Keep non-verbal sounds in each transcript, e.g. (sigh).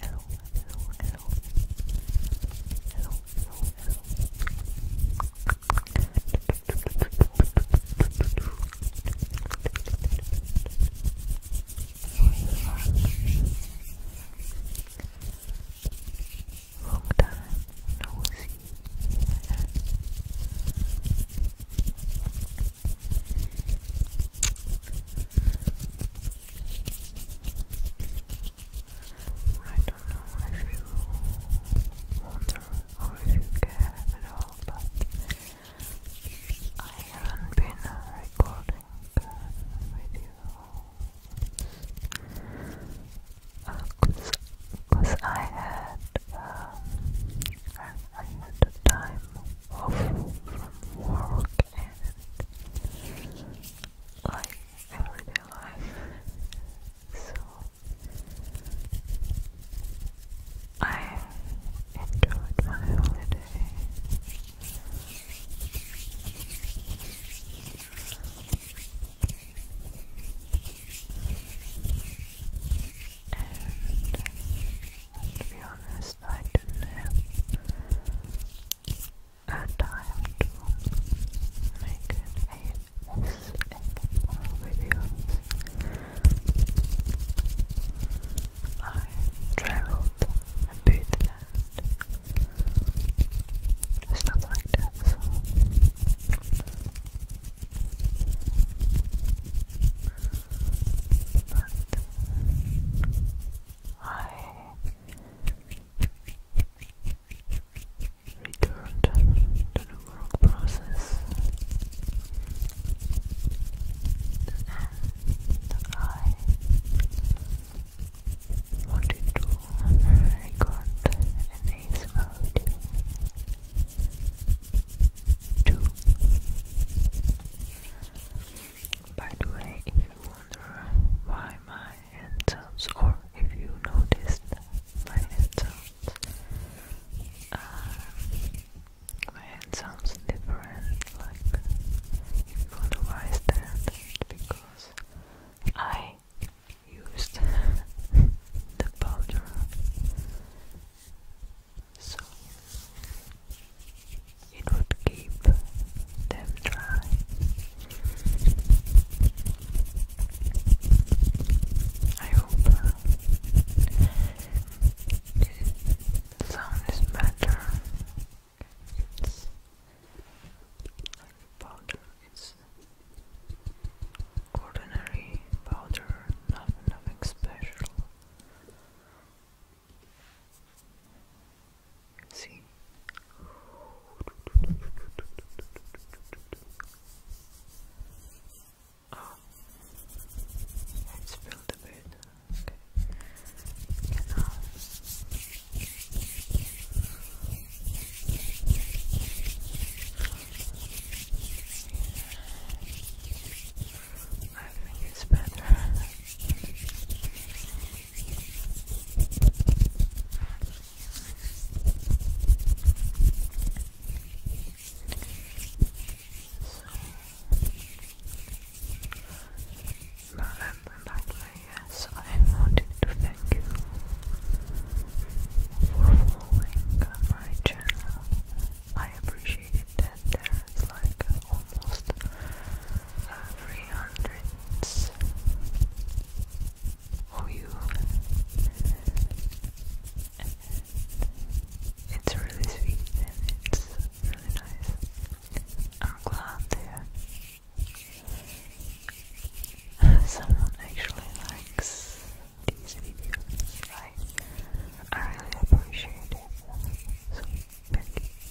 Hello, hello, hello. Hello, hello, hello. Long time no see. I don't know if you wonder or if you care at all, but I haven't been with you because I had um, I had the time awful from work and like everyday life. So I enjoyed my holiday. To be honest, I didn't have to make an ASMR video. I traveled a bit and stuff like that, that I returned to the work process and I wanted to record an ASMR to by the way, if you wonder why my hand sounds, or if you noticed my hand sounds, uh, my hand sounds different. Like, if you wonder why because I used (laughs) the powder so it would keep them dry. I hope the sound is better. It's like powder, it's ordinary powder, nothing special. See? Oh, ah. it's filled a bit. Okay. My fingers better. So, now that I'm back yes, I wanted to thank you for following my channel. I appreciate then like almost 300 of it's really sweet and it's really nice I'm glad there someone actually likes these videos I, I really appreciate it so thank you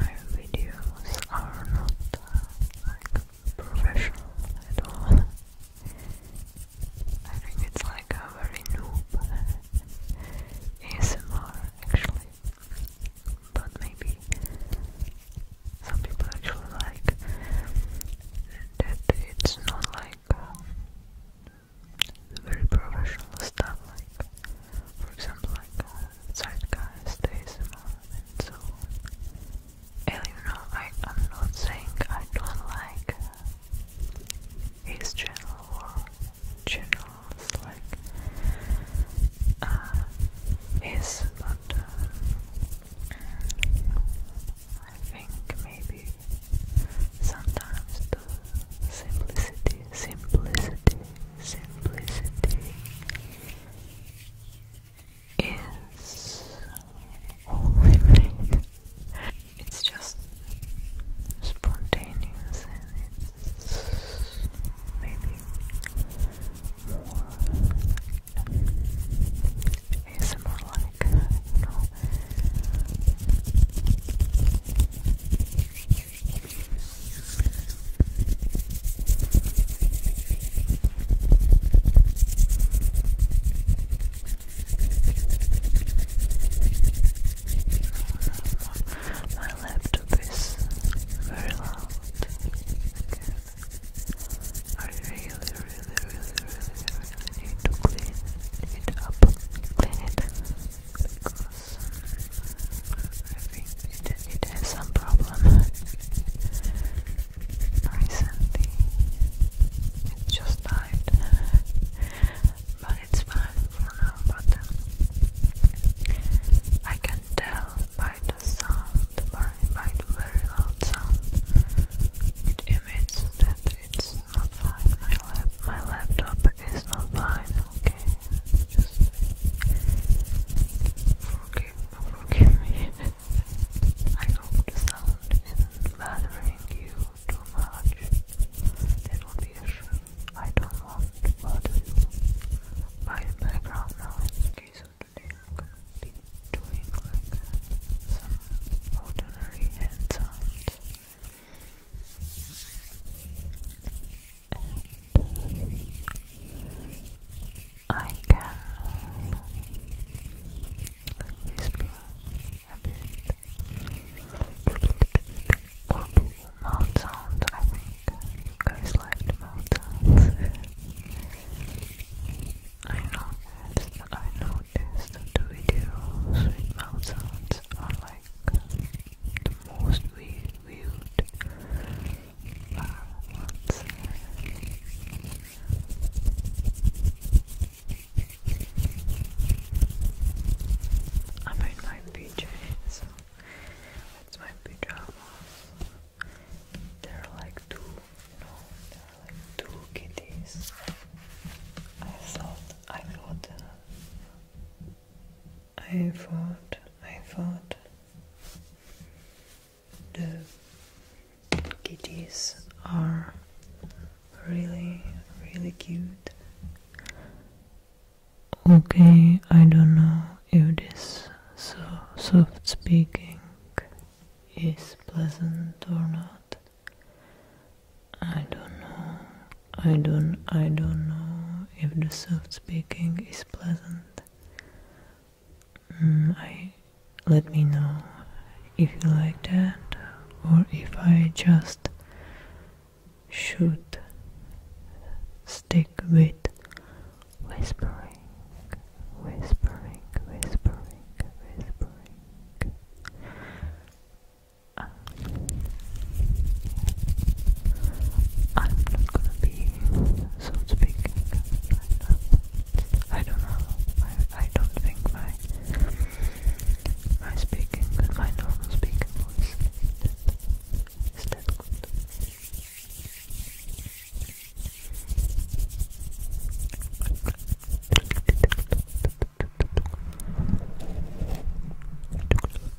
my videos are not uh, like professional at all. (laughs) I think it's like a very noob uh, ASMR actually. But maybe some people actually like that it's not like uh, very professional stuff like for example like uh, Zeitgeist, and so and you know I, I'm not saying I don't like uh, his channel or channels like uh, his but uh, I think maybe sometimes the simplicity simplicity simplicity is all It's just spontaneous and it's maybe more it's more like you my laptop is very loud. I really, really, really, really, really need to clean it up. Clean it. I think it, has some problem recently. It just died, but it's fine for now. But um, I can tell by the sound, by, the very loud sound it emits that it's not fine. my laptop is not fine okay? Just forgive, I hope the sound isn't bothering you too much. That would be a I don't want to bother you by background noise. Okay, so today doing like some ordinary hand I can whisper a bit or mouth sounds I think you guys like the mouth sounds I noticed, I noticed that the videos with mouth are like the most weird mute our I'm my PJ, that's my pajamas. There are like two, no, there are like two kitties. I thought, I thought. Uh, I thought I thought The kitties are really, really cute. Okay, I don't know if this so soft speaking is pleasant or not. I don't know. I don't. I don't know if the soft speaking is pleasant. Mm, let me know if you like that or if I just should stick with whispering, whispering, whispering, whispering. Ah. I'm not gonna be so speaking right I don't know. I, I don't think my my speaking, my normal speaking voice is that good.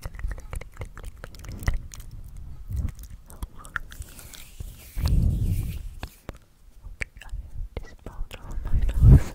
this powder on my nose.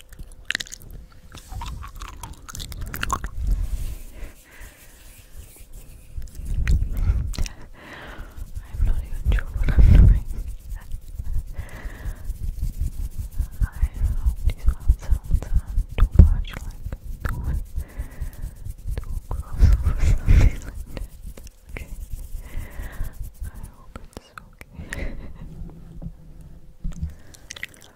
I'm not even sure what I'm doing. I hope not too much like too, too gross (laughs) or something like that. I hope it's okay.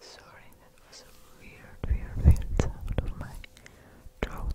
Sorry, that was a weird, weird, weird sound of my throat.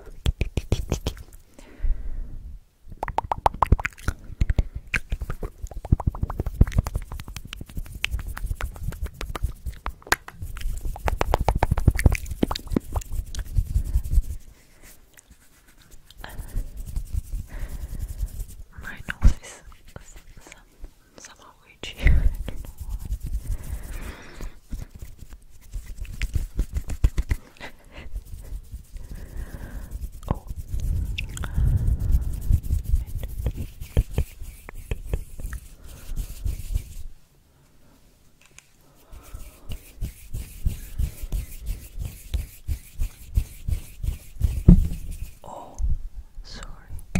My nose is some, somehow itchy. I don't know why oh. Oh, sorry.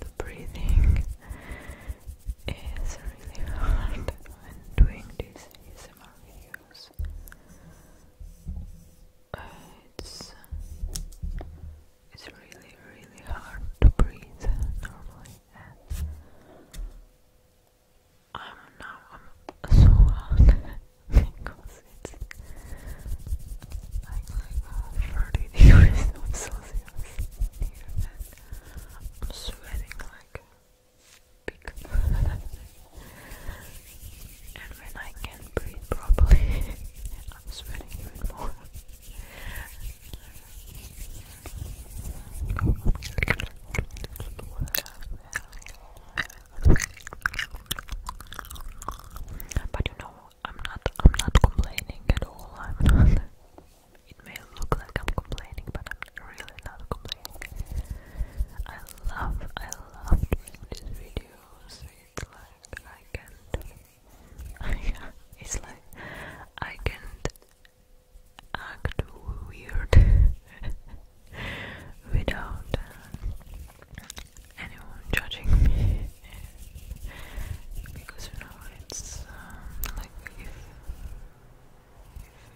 The breathing is really hard when doing these ASMR videos. it's it's really really hard to breathe normally. And I'm now I'm so (laughs) hard because it's like 30 degrees Celsius and I'm sweating like a pig and when I can breathe properly I'm sweating even more but you know I'm not I'm not complaining at all. I'm not (laughs) it may look like I'm complaining, but I'm really not complaining. I love I love doing these videos. It's like I can't (laughs) it's like I can't act weird (laughs) without uh, anyone judging me because you know it's um, like if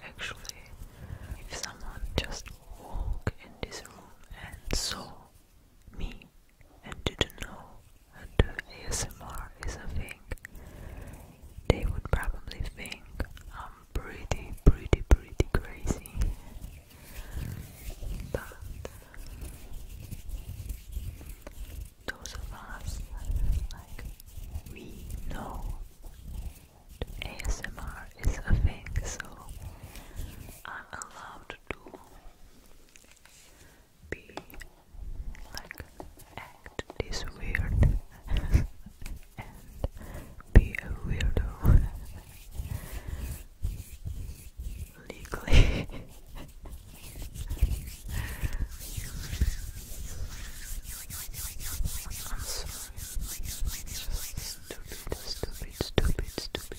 actually if someone just walked in this room and saw me and didn't know that ASMR is a thing, they would probably think I'm pretty, pretty, pretty crazy. But those of us like we know ASMR is a fake, so I'm allowed to be like act this weird (laughs) and be a weirdo legally. I'm sorry. Stupid, stupid, stupid, stupid, stupid.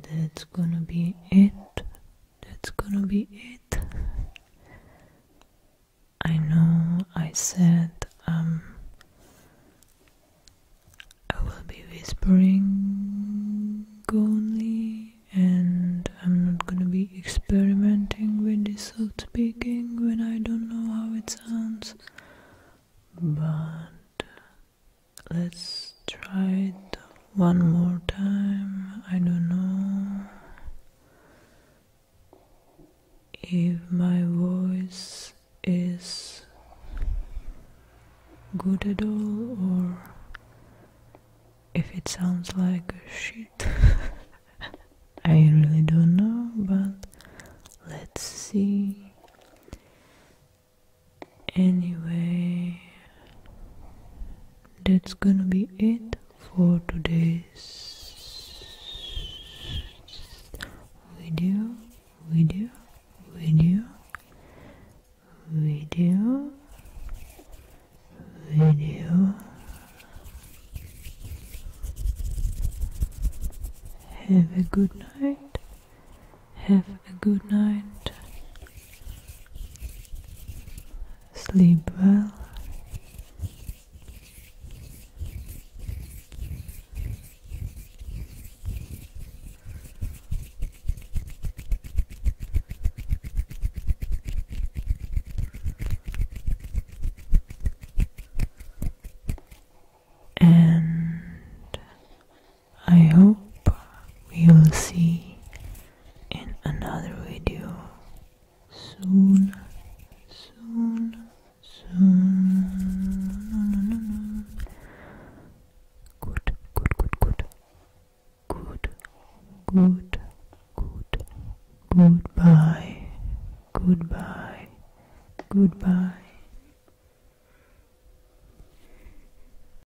that's gonna be it that's gonna be it I know I said um, I will be whispering only and I'm not gonna be experimenting with this out speaking when I don't know how it sounds but Let's try it one more time. I don't know if my voice is good at all or if it sounds like a shit. (laughs) I really don't know, but let's see. Anyway, that's gonna be it for today's video, video, video, video, video. Have a good night. Have a good night. Sleep well. And I hope we will see in another video soon, soon, soon. Good, good, good, good, good, good, good. Goodbye, goodbye, goodbye.